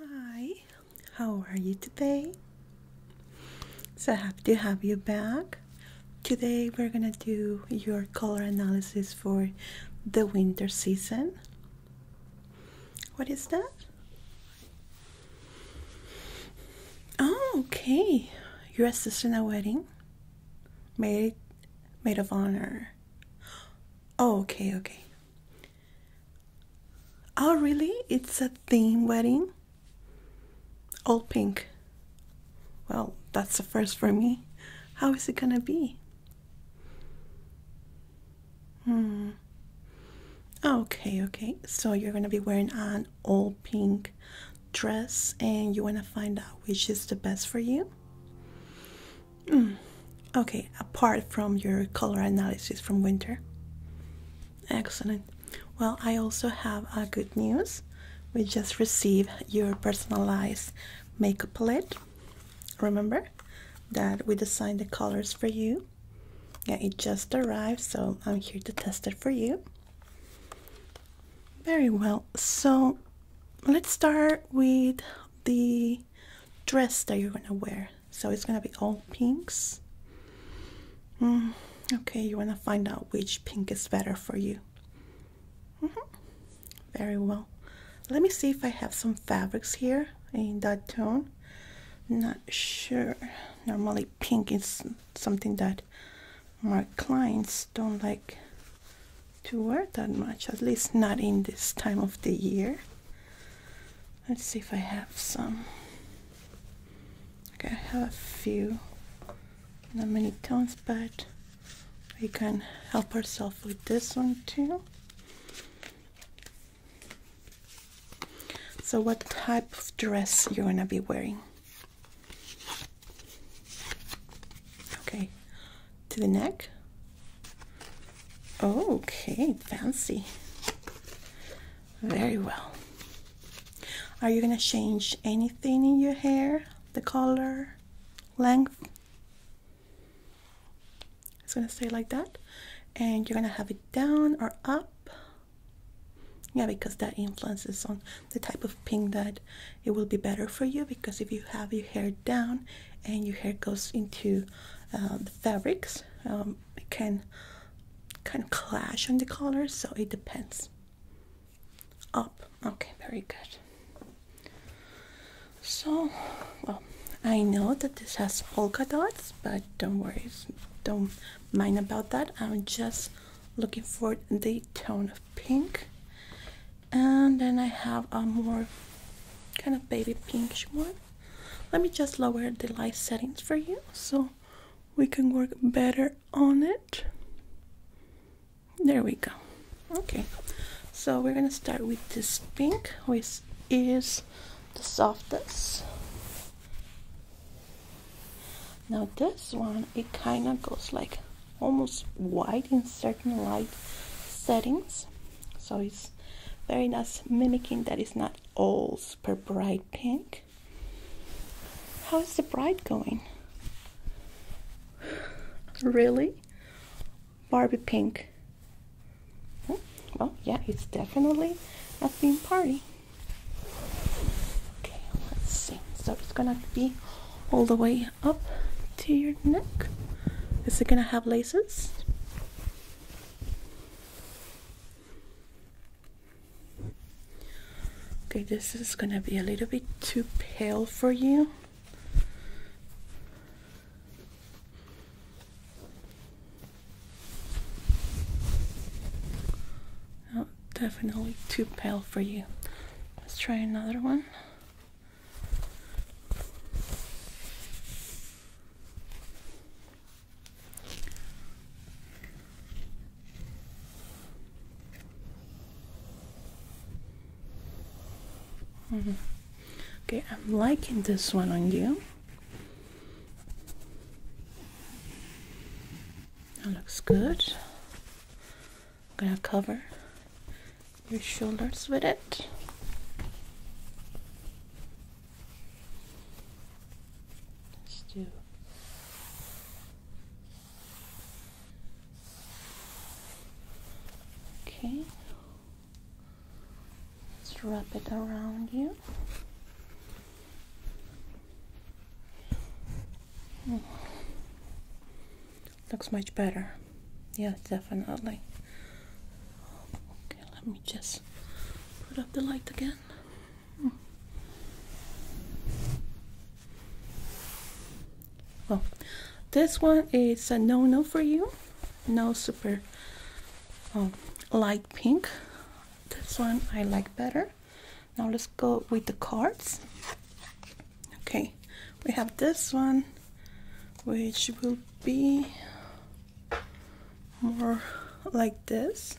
Hi, how are you today? So happy to have you back. Today we're gonna do your color analysis for the winter season. What is that? Oh, okay. You're assisting a wedding? Maid, maid of honor. Oh, okay, okay. Oh, really? It's a theme wedding? All pink. Well, that's the first for me. How is it gonna be? Hmm. Okay, okay. So you're gonna be wearing an all pink dress and you wanna find out which is the best for you? Mm. Okay, apart from your color analysis from winter. Excellent. Well, I also have a good news. We just received your personalized makeup palette. Remember that we designed the colors for you. Yeah, it just arrived, so I'm here to test it for you. Very well. So let's start with the dress that you're gonna wear. So it's gonna be all pinks. Mm, okay, you wanna find out which pink is better for you. Mm-hmm. Very well. Let me see if I have some fabrics here in that tone. Not sure. Normally, pink is something that my clients don't like to wear that much, at least not in this time of the year. Let's see if I have some. Okay, I have a few. Not many tones, but we can help ourselves with this one too. So what type of dress you're gonna be wearing? Okay, to the neck. Okay, fancy. Very well. Are you gonna change anything in your hair? The color, length? It's gonna stay like that. And you're gonna have it down or up? yeah because that influences on the type of pink that it will be better for you because if you have your hair down and your hair goes into um, the fabrics um, it can kind of clash on the color, so it depends up okay very good so well i know that this has polka dots but don't worry don't mind about that i'm just looking for the tone of pink and then i have a more kind of baby pinkish one let me just lower the light settings for you so we can work better on it. There we go. Okay, so we're gonna start with this pink, which is the softest. Now this one, it kind of goes like almost white in certain light settings. So it's very nice mimicking that is not all super bright pink how is the bride going really barbie pink Oh yeah it's definitely a theme party okay let's see so it's gonna be all the way up to your neck is it gonna have laces Okay, this is going to be a little bit too pale for you. Oh, definitely too pale for you. Let's try another one. Mm-hmm. Okay, I'm liking this one on you. That looks good. I'm gonna cover your shoulders with it. Let's do okay. Let's wrap it around you. Looks much better. yeah, definitely let me just put up the light again. Hmm. Well, this one is a no-no for you. No super um, light pink. This one I like better. Now let's go with the cards. Okay, we have this one, which will be more like this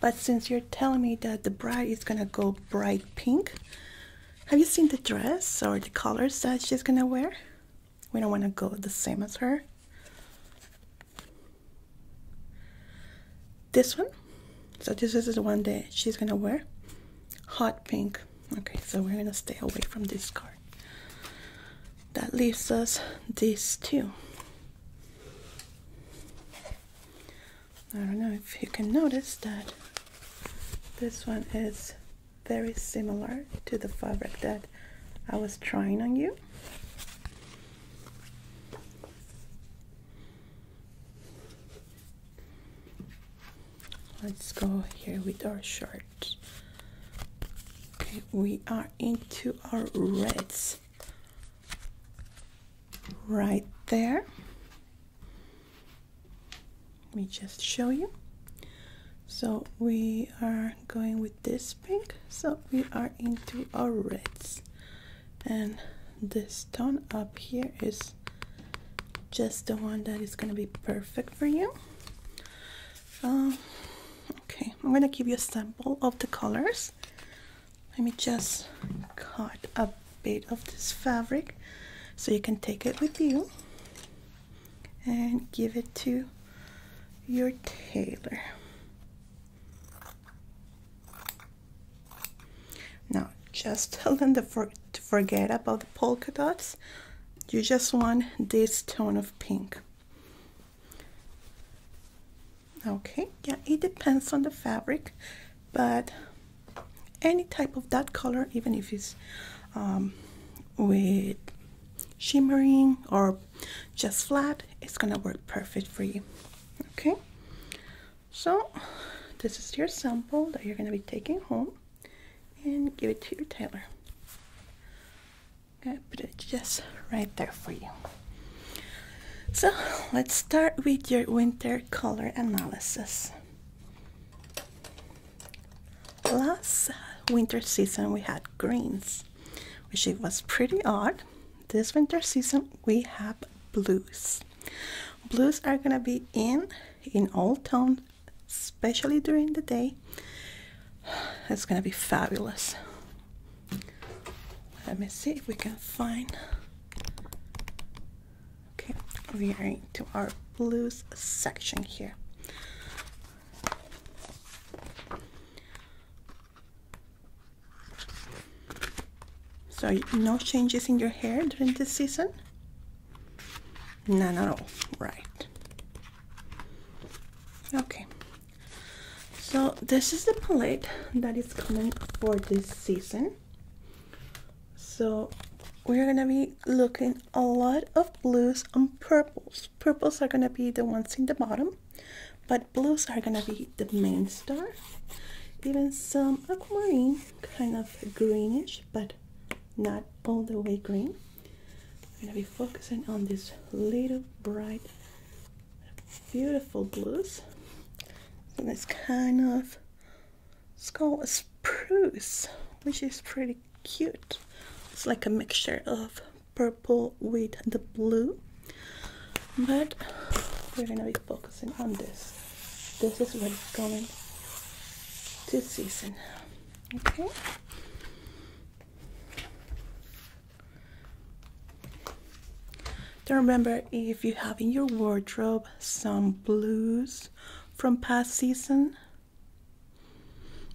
but since you're telling me that the bride is gonna go bright pink have you seen the dress or the colors that she's gonna wear we don't want to go the same as her this one so this is the one that she's gonna wear hot pink okay so we're gonna stay away from this card that leaves us these two. I don't know if you can notice that this one is very similar to the fabric that I was trying on you. Let's go here with our short Okay, we are into our reds right there. Let me just show you. So we are going with this pink. So we are into our reds. And this tone up here is just the one that is going to be perfect for you. Uh, okay, I'm gonna give you a sample of the colors. Let me just cut a bit of this fabric so you can take it with you and give it to your tailor. Now, just tell them to forget about the polka dots. You just want this tone of pink okay yeah it depends on the fabric but any type of that color even if it's um, with shimmering or just flat it's gonna work perfect for you okay so this is your sample that you're gonna be taking home and give it to your tailor I put it just right there for you. So let's start with your winter color analysis. Last winter season we had greens, which it was pretty odd. This winter season we have blues. Blues are gonna be in in all tones, especially during the day. It's gonna be fabulous. Let me see if we can find. Okay, we are into our blues section here. So no changes in your hair during this season? None at all, right. Okay, so this is the palette that is coming for this season. So we're gonna be looking a lot of blues and purples. Purples are gonna be the ones in the bottom, but blues are gonna be the main star. Even some aquamarine, kind of greenish, but not all the way green. I'm gonna be focusing on this little bright beautiful blues. And it's kind of called a spruce, which is pretty cute. It's like a mixture of purple with the blue. But we're gonna be focusing on this. This is what it's going to season. Okay. Don't remember if you have in your wardrobe some blues from past season.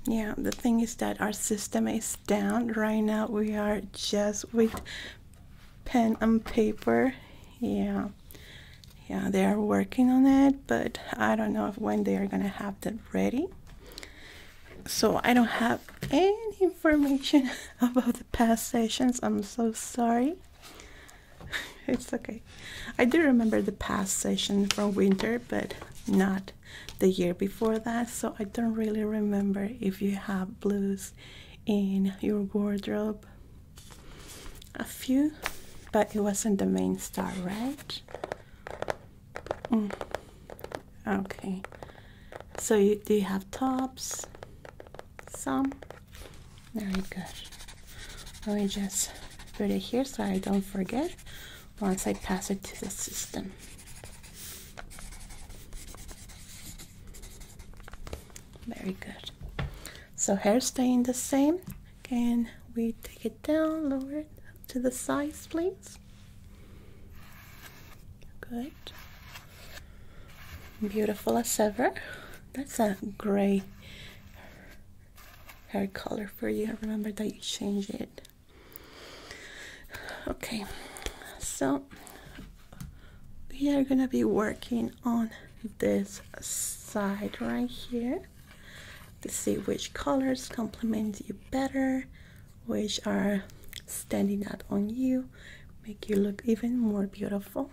Yeah, the thing is that our system is down. Right now we are just with pen and paper. Yeah. Yeah, they are working on it, but I don't know when they are gonna have that ready so I don't have any information about the past sessions. I'm so sorry. it's okay. I do remember the past session from winter, but not the year before that. So I don't really remember if you have blues in your wardrobe. A few, but it wasn't the main star, right? Mm. Okay. So you do you have tops? Some. Very good. Let me just put it here so I don't forget once I pass it to the system. Very good. So hair staying the same. Again, we take it down, lower it to the sides, please? Good. Beautiful as ever. That's a gray hair color for you. I remember that you changed it. Okay, so we are gonna be working on this side right here to see which colors complement you better which are standing out on you, make you look even more beautiful.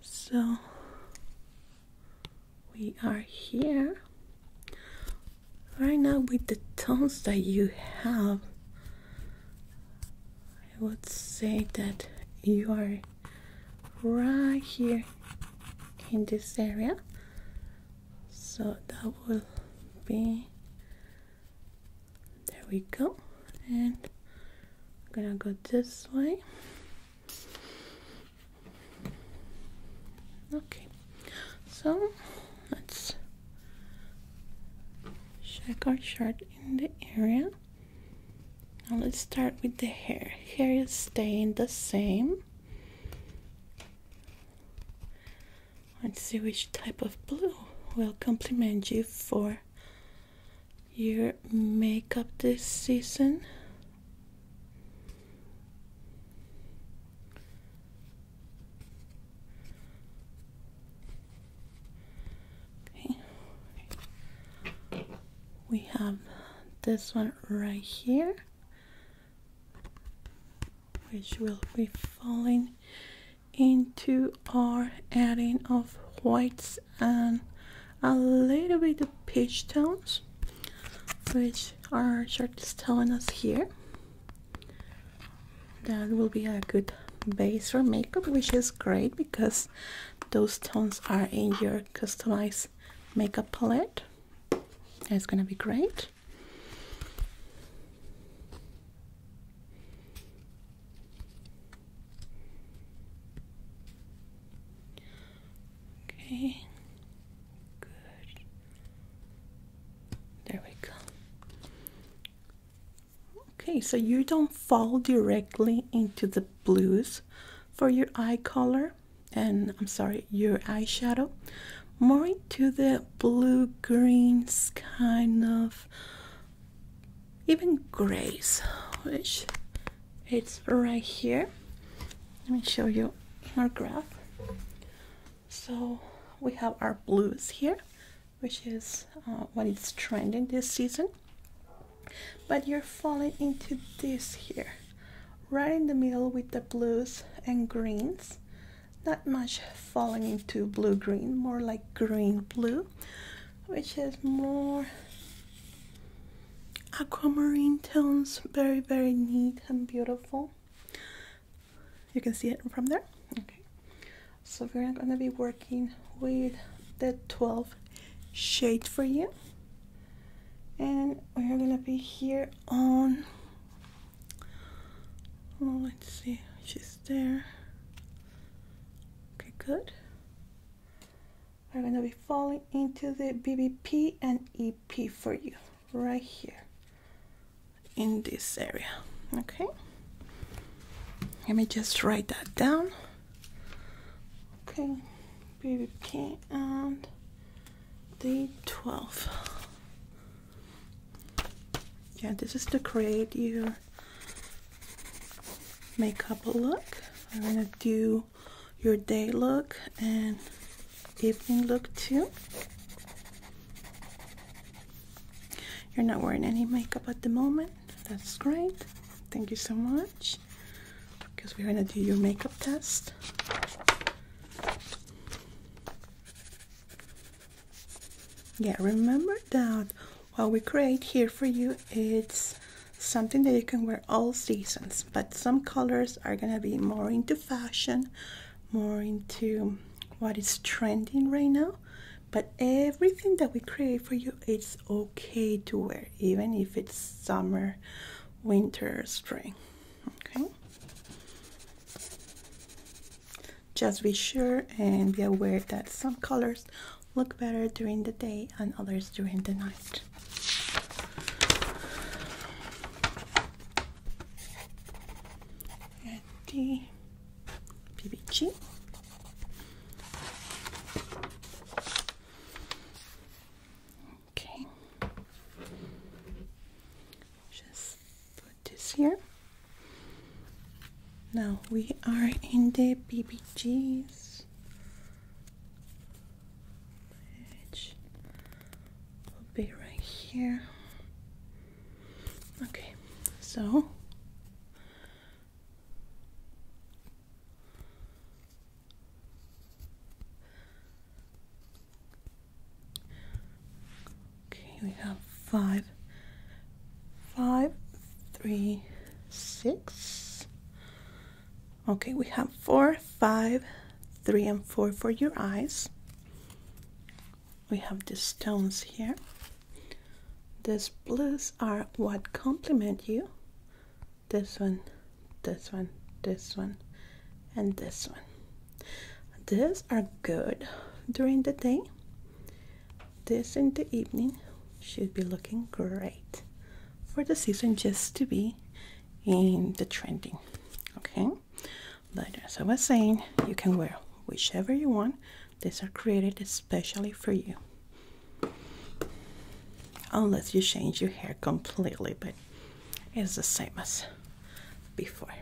So we are here right now with the tones that you have. I would say that you are right here in this area so that will be there we go and I'm gonna go this way okay so let's check our chart in the area now let's start with the hair hair is staying the same Let's see which type of blue will compliment you for your makeup this season. Okay. We have this one right here which will be falling into our adding of whites and a little bit of peach tones which our chart is telling us here that will be a good base for makeup which is great because those tones are in your customized makeup palette it's gonna be great Okay. Good. There we go. Okay, so you don't fall directly into the blues for your eye color and I'm sorry, your eyeshadow, more into that blue greens kind of even grays, which it's right here. Let me show you our graph. So we have our blues here, which is uh, what is trending this season. But you're falling into this here, right in the middle with the blues and greens not much falling into blue green, more like green blue, which is more aquamarine tones, very, very neat and beautiful. You can see it from there. Okay, so we're gonna be working with the 12 shade for you, and we're gonna be here on well, oh, let's see she's there okay good I'm gonna be falling into the BBP and EP for you right here in this area okay let me just write that down okay BBP and the 12 yeah, this is to create your makeup look. I'm gonna do your day look and evening look too. You're not wearing any makeup at the moment. That's great. Thank you so much. Because we're gonna do your makeup test yeah remember that what we create here for you it's something that you can wear all seasons but some colors are gonna be more into fashion more into what is trending right now but everything that we create for you it's okay to wear even if it's summer winter spring okay just be sure and be aware that some colors look better during the day and others during the night. And PBG. Okay. Just put this here. Now we are in the BBGs, which will be right here. Okay, so Okay, we have five, five, three, six. Okay, we have four, five, three, and four for your eyes. We have the stones here. These blues are what complement you. This one, this one, this one, and this one. These are good during the day this in the evening should be looking great for the season just to be in the trending. Okay, but as I was saying, you can wear whichever you want. These are created especially for you. Unless you change your hair completely, but it's the same as before.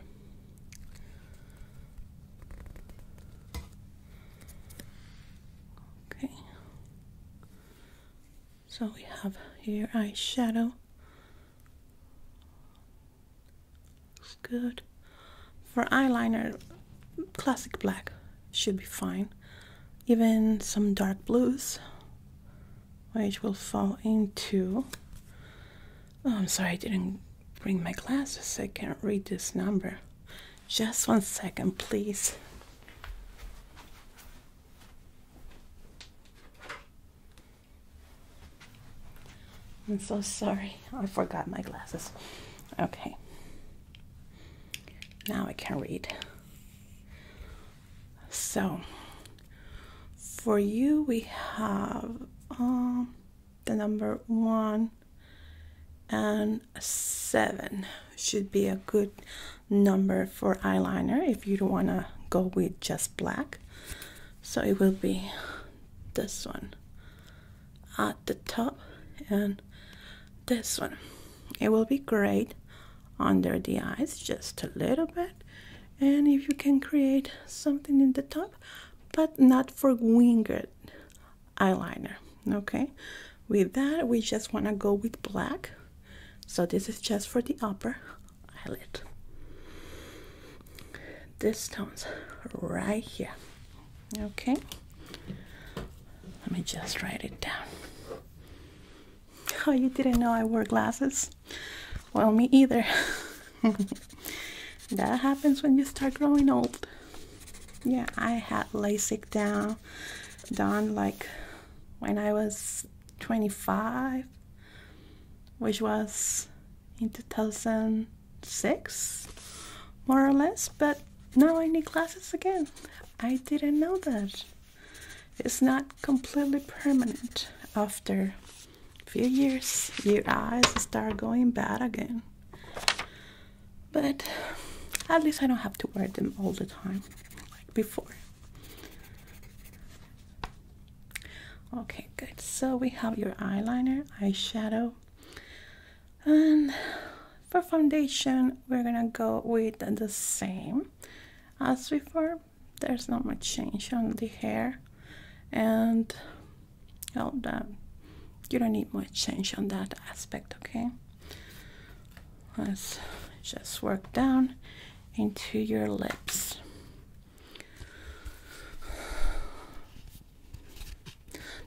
Okay. So we have here eyeshadow. Looks good. For eyeliner, classic black should be fine. Even some dark blues, which will fall into Oh, I'm sorry, I didn't bring my glasses. I can't read this number. Just one second, please. I'm so sorry. I forgot my glasses. Okay. Now I can read. So, for you, we have um, the number one, and seven should be a good number for eyeliner if you don't want to go with just black so it will be this one at the top and this one it will be great under the eyes just a little bit and if you can create something in the top but not for winged eyeliner. Okay, with that, we just want to go with black. So, this is just for the upper eyelid. This tones right here. Okay, let me just write it down. Oh, you didn't know I wore glasses? Well, me either. That happens when you start growing old. Yeah, I had LASIK done, done like when I was 25, which was in 2006, more or less. But now I need glasses again. I didn't know that. It's not completely permanent after a few years. Your eyes start going bad again but at least I don't have to wear them all the time like before. Okay, good. So we have your eyeliner, eyeshadow, and for foundation, we're gonna go with the same as before. There's not much change on the hair, and Hold on. You don't need much change on that aspect, okay? Let's just work down into your lips.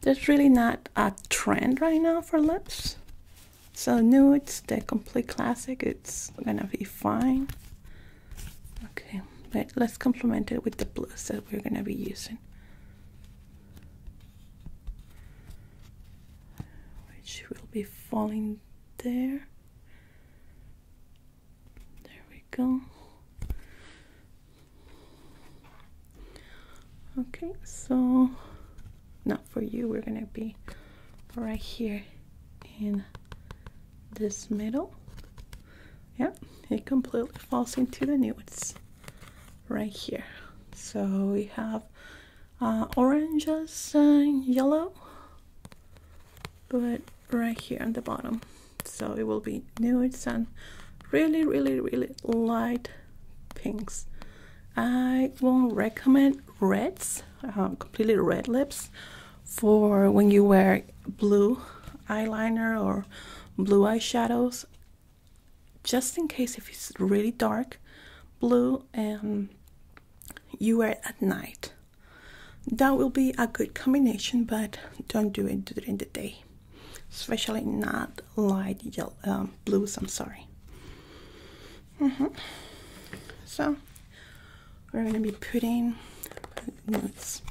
There's really not a trend right now for lips. So nudes, the complete classic, it's gonna be fine. Okay, but let's complement it with the blues that we're gonna be using which will be falling there. There we go. Okay, so now for you, we're gonna be right here in this middle. Yeah, it completely falls into the nudes right here. So we have uh, oranges and yellow, but right here on the bottom. So it will be nude and really, really, really light pinks. I won't recommend reds, um, completely red lips, for when you wear blue eyeliner or blue eyeshadows just in case if it's really dark blue and um, you wear at night. That will be a good combination, but don't do it during the day, especially not light yellow, um, blues. I'm sorry. Mm-hmm. So we're gonna be putting nudes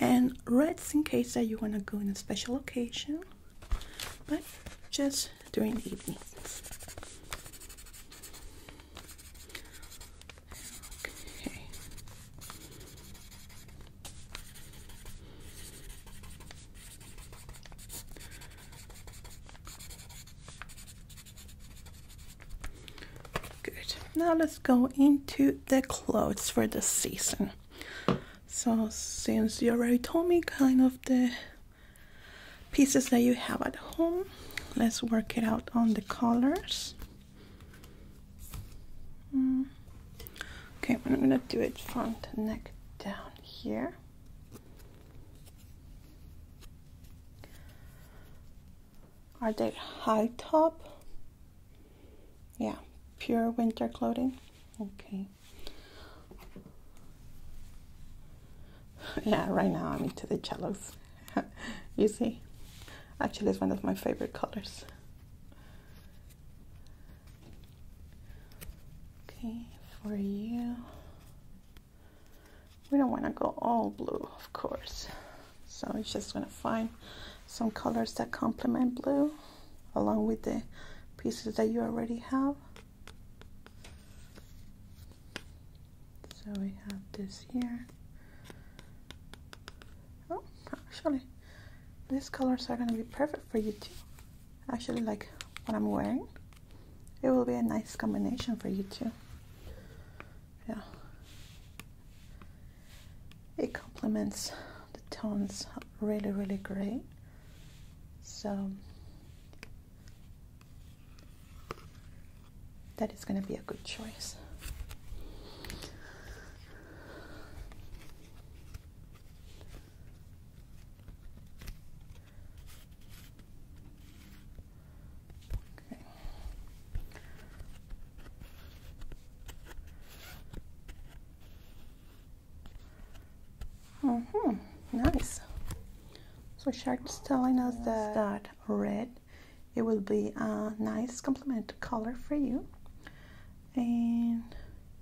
and reds in case that you wanna go in a special occasion but just during the evening. Okay. Good. Now let's go into the clothes for the season. So since you already told me kind of the pieces that you have at home, let's work it out on the colors. Mm. Okay, I'm gonna do it front neck down here. Are they high top? Yeah, pure winter clothing. Okay. Yeah, right now I'm into the cellos. you see? Actually, it's one of my favorite colors. Okay, for you. We don't want to go all blue, of course. So we're just going to find some colors that complement blue along with the pieces that you already have. So we have this here. Oh, actually, these colors are going to be perfect for you too. Actually, like what I'm wearing, it will be a nice combination for you too. Yeah. It complements the tones really, really great. So that is going to be a good choice. Okay. Mm-hmm. Nice. So shark is telling us that, red, it will be a nice complement color for you. And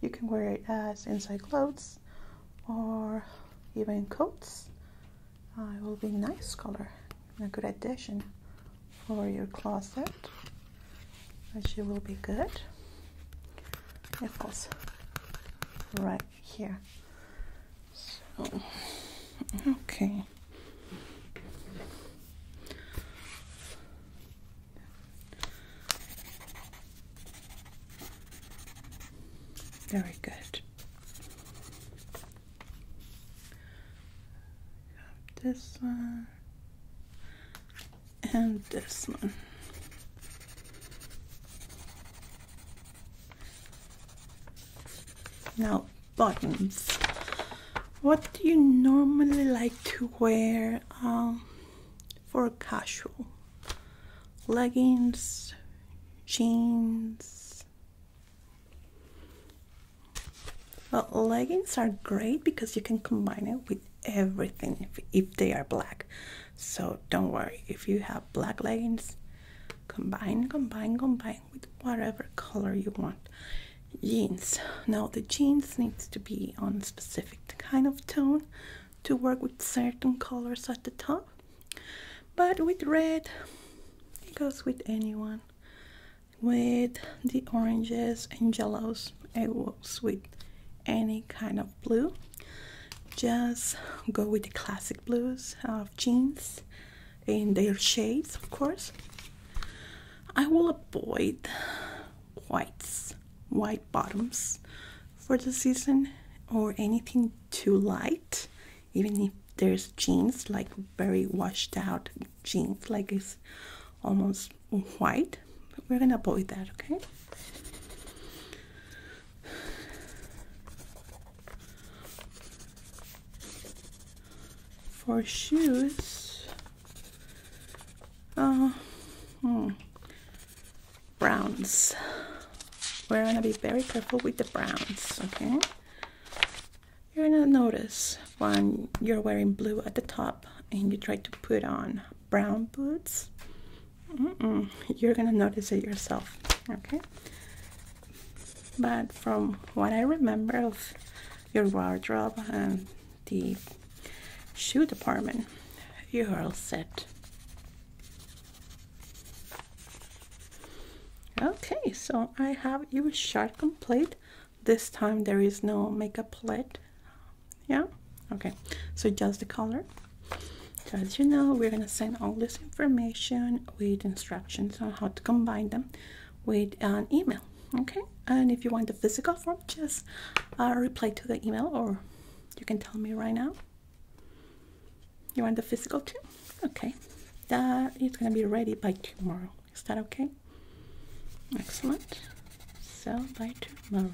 you can wear it as inside clothes or even coats. Uh, it will be nice color, a good addition for your closet which will be good of course right here so okay very good this one and this one. Now, buttons. What do you normally like to wear um, for casual? Leggings, jeans. Well, leggings are great because you can combine it with everything if, they are black so don't worry if you have black leggings combine combine combine with whatever color you want jeans now the jeans needs to be on a specific kind of tone to work with certain colors at the top but with red it goes with anyone with the oranges and yellows it works with any kind of blue just go with the classic blues of jeans in their shades, of course. I will avoid whites, white bottoms for the season or anything too light, even if there's jeans like very washed out jeans, like it's almost white, but we're gonna avoid that, okay? For shoes, uh, hmm, browns. We're gonna be very careful with the browns, okay? You're gonna notice when you're wearing blue at the top and you try to put on brown boots you're gonna notice it yourself, okay? But from what I remember of your wardrobe and the shoe department, you're all set. Okay, so I have you sharp complete. This time there is no makeup plate. Yeah? Okay, so just the color. So as you know, we're gonna send all this information with instructions on how to combine them with an email, okay? And if you want the physical form, just uh, reply to the email or you can tell me right now. You want the physical too? Okay, that is gonna be ready by tomorrow. Is that okay? Excellent. So by tomorrow.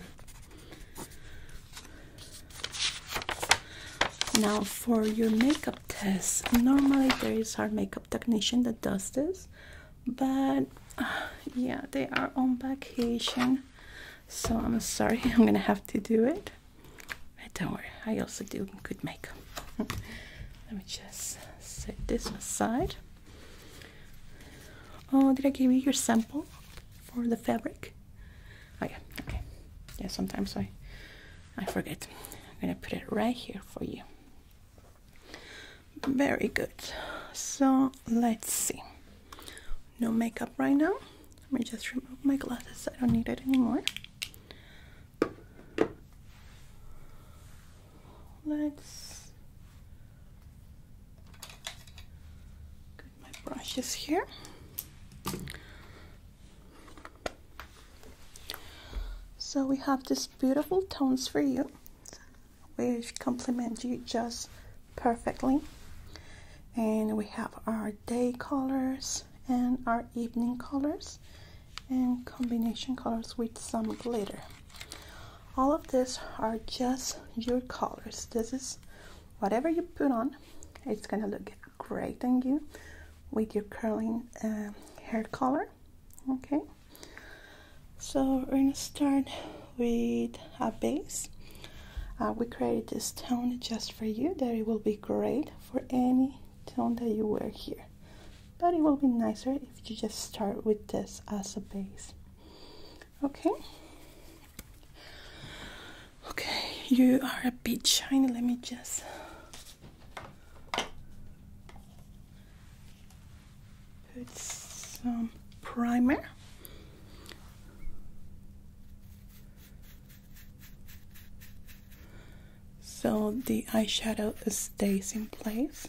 Now for your makeup test, normally there is our makeup technician that does this, but yeah, they are on vacation, so I'm sorry, I'm gonna have to do it. don't worry, I also do good makeup. Let me just set this aside. Oh, did I give you your sample for the fabric? Oh yeah, okay. Yeah, sometimes I I forget. I'm gonna put it right here for you. Very good. So let's see. No makeup right now. Let me just remove my glasses. I don't need it anymore. Let's my brushes here. So we have these beautiful tones for you, which complement you just perfectly. And we have our day colors and our evening colors and combination colors with some glitter. All of this are just your colors. This is whatever you put on, it's gonna look great on you with your curling uh, hair color. Okay, so we're gonna start with a base. Uh, we created this tone just for you, that it will be great for any tone that you wear here. But it will be nicer if you just start with this as a base okay okay you are a bit shiny let me just put some primer so the eyeshadow stays in place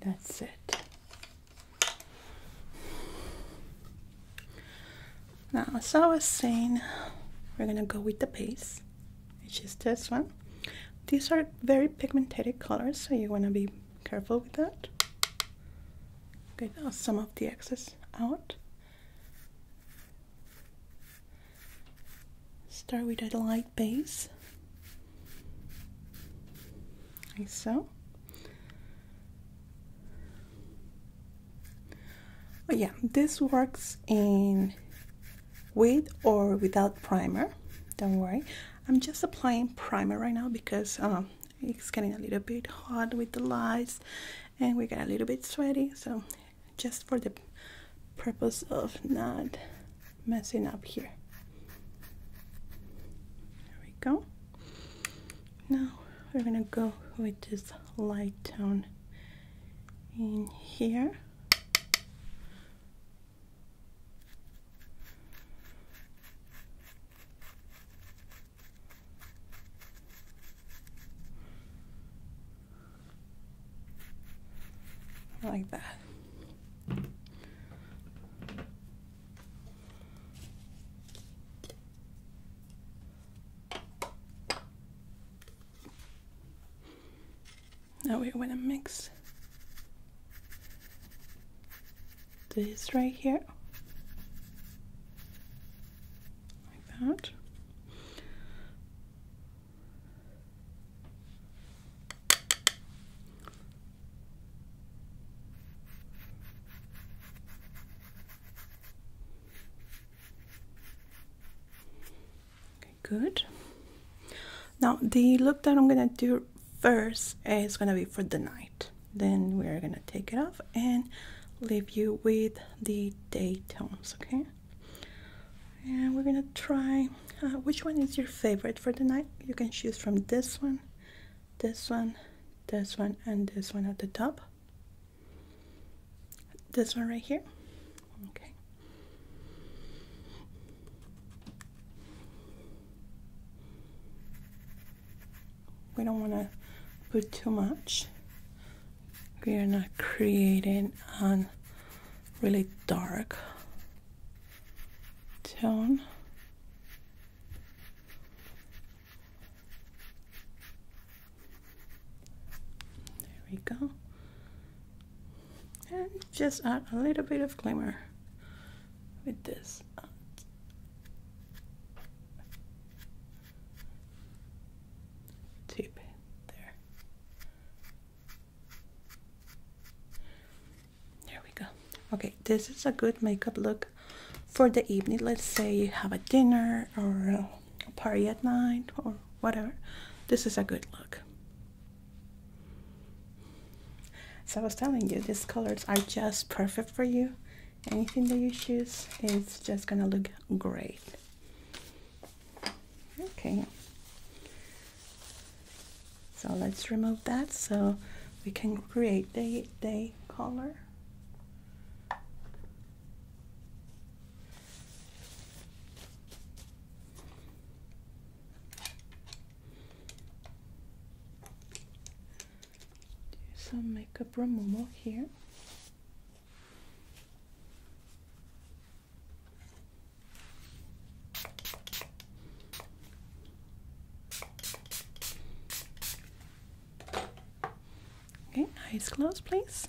that's it. Now, as I was saying, we're gonna go with the base, which is this one. These are very pigmented colors, so you wanna be careful with that. Get some of the excess out. Start with a light base, like so. Oh yeah, this works in with or without primer. Don't worry. I'm just applying primer right now because uh, it's getting a little bit hot with the lights and we got a little bit sweaty so just for the purpose of not messing up here there we go now we're gonna go with this light tone in here like that. Now we're gonna mix this right here like that. Okay, good. Now the look that I'm gonna do first is gonna be for the night. Then we're gonna take it off and leave you with the day tones, okay? And we're gonna try uh, which one is your favorite for the night. You can choose from this one, this one, this one, and this one at the top. This one right here. Okay. We don't want to put too much we are not creating a really dark tone. There we go. And just add a little bit of glimmer with this. Tape there. There we go. Okay, this is a good makeup look for the evening. Let's say you have a dinner or a party at night or whatever. This is a good look. So I was telling you, these colors are just perfect for you. Anything that you choose is just gonna look great. Okay. So let's remove that so we can create the, the color. Do some makeup removal here. Okay, eyes closed, please.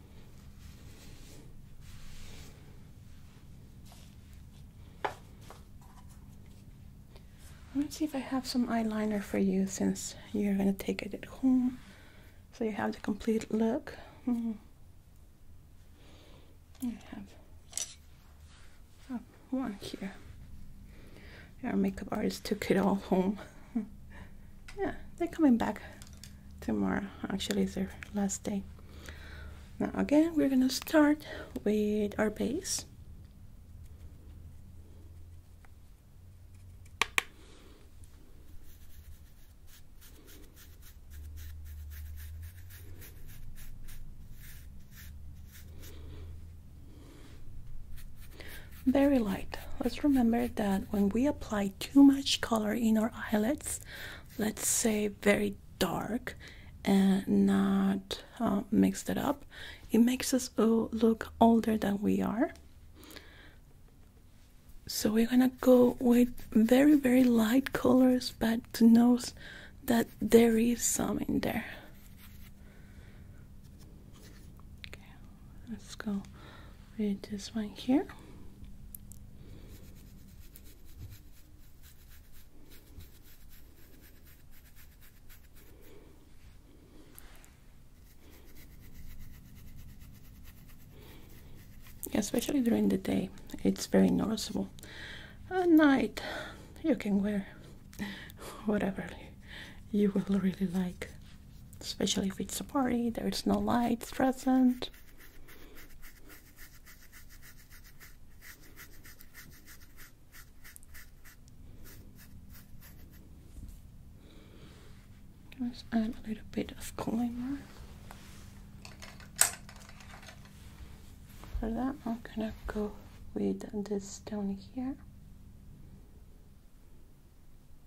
Let's see if I have some eyeliner for you since you're gonna take it at home so you have the complete look. Mm-hmm. I have uh, one here. Our makeup artist took it all home. yeah, they're coming back tomorrow. Actually, it's their last day. Now, again, we're gonna start with our base. very light let's remember that when we apply too much color in our eyelids, let's say very dark and not uh, mixed it up, it makes us uh, look older than we are. So we're gonna go with very, very light colors, but to note that there is some in there. Okay, let's go with this one here especially during the day it's very noticeable at night you can wear whatever you will really like especially if it's a party, there's no lights present. Let's add a little bit of climber. For that, I'm gonna go with this down here.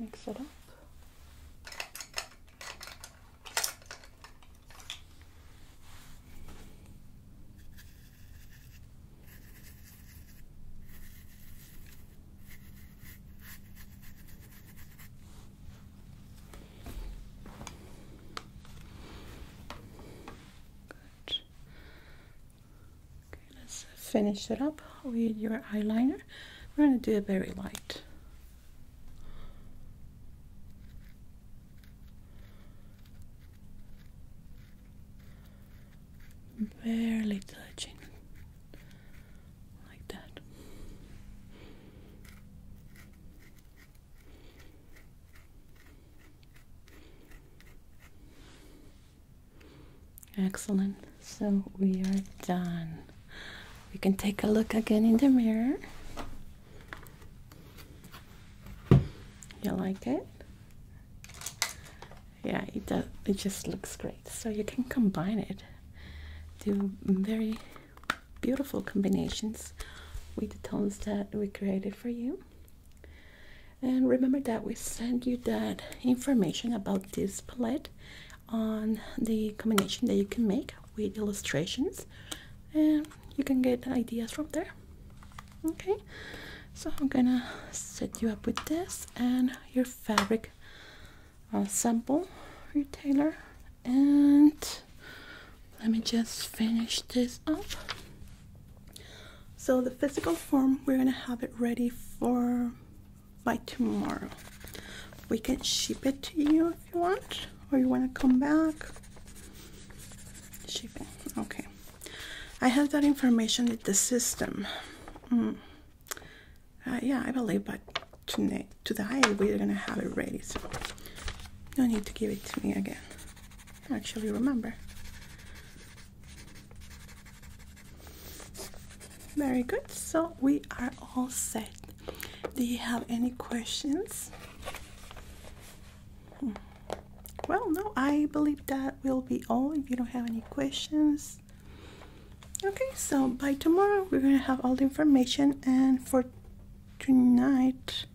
mix it up. Good. Okay, let's finish it up with your eyeliner. We're going to do a very light barely touching like that. Excellent. So we are done. We can take a look again in the mirror. You like it? yeah it does it just looks great so you can combine it do very beautiful combinations with the tones that we created for you and remember that we send you that information about this palette on the combination that you can make with illustrations and you can get ideas from there Okay, so I'm gonna set you up with this and your fabric uh, sample retailer, and let me just finish this up. So the physical form, we're gonna have it ready for by tomorrow. We can ship it to you if you want, or you wanna come back. Shipping, okay. I have that information in the system. Mm. Uh, yeah, I believe, but tonight, today we're gonna have it ready, no need to give it to me again. I actually remember. Very good, so we are all set. Do you have any questions? Well, no, I believe that will be all. If you don't have any questions, okay. So by tomorrow, we're gonna have all the information, and for tonight,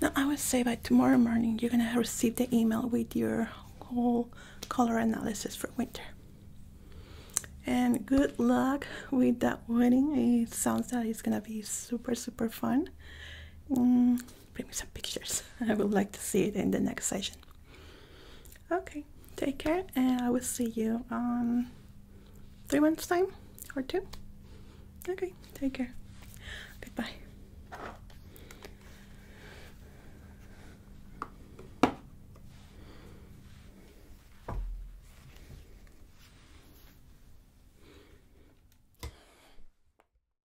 now I would say by tomorrow morning, you're gonna receive the email with your whole color analysis for winter. And good luck with that wedding. It sounds like it's gonna be super, super fun. Mm, bring me some pictures. I would like to see it in the next session. Okay, take care, and I will see you on three months' time or two. Okay, take care. Goodbye.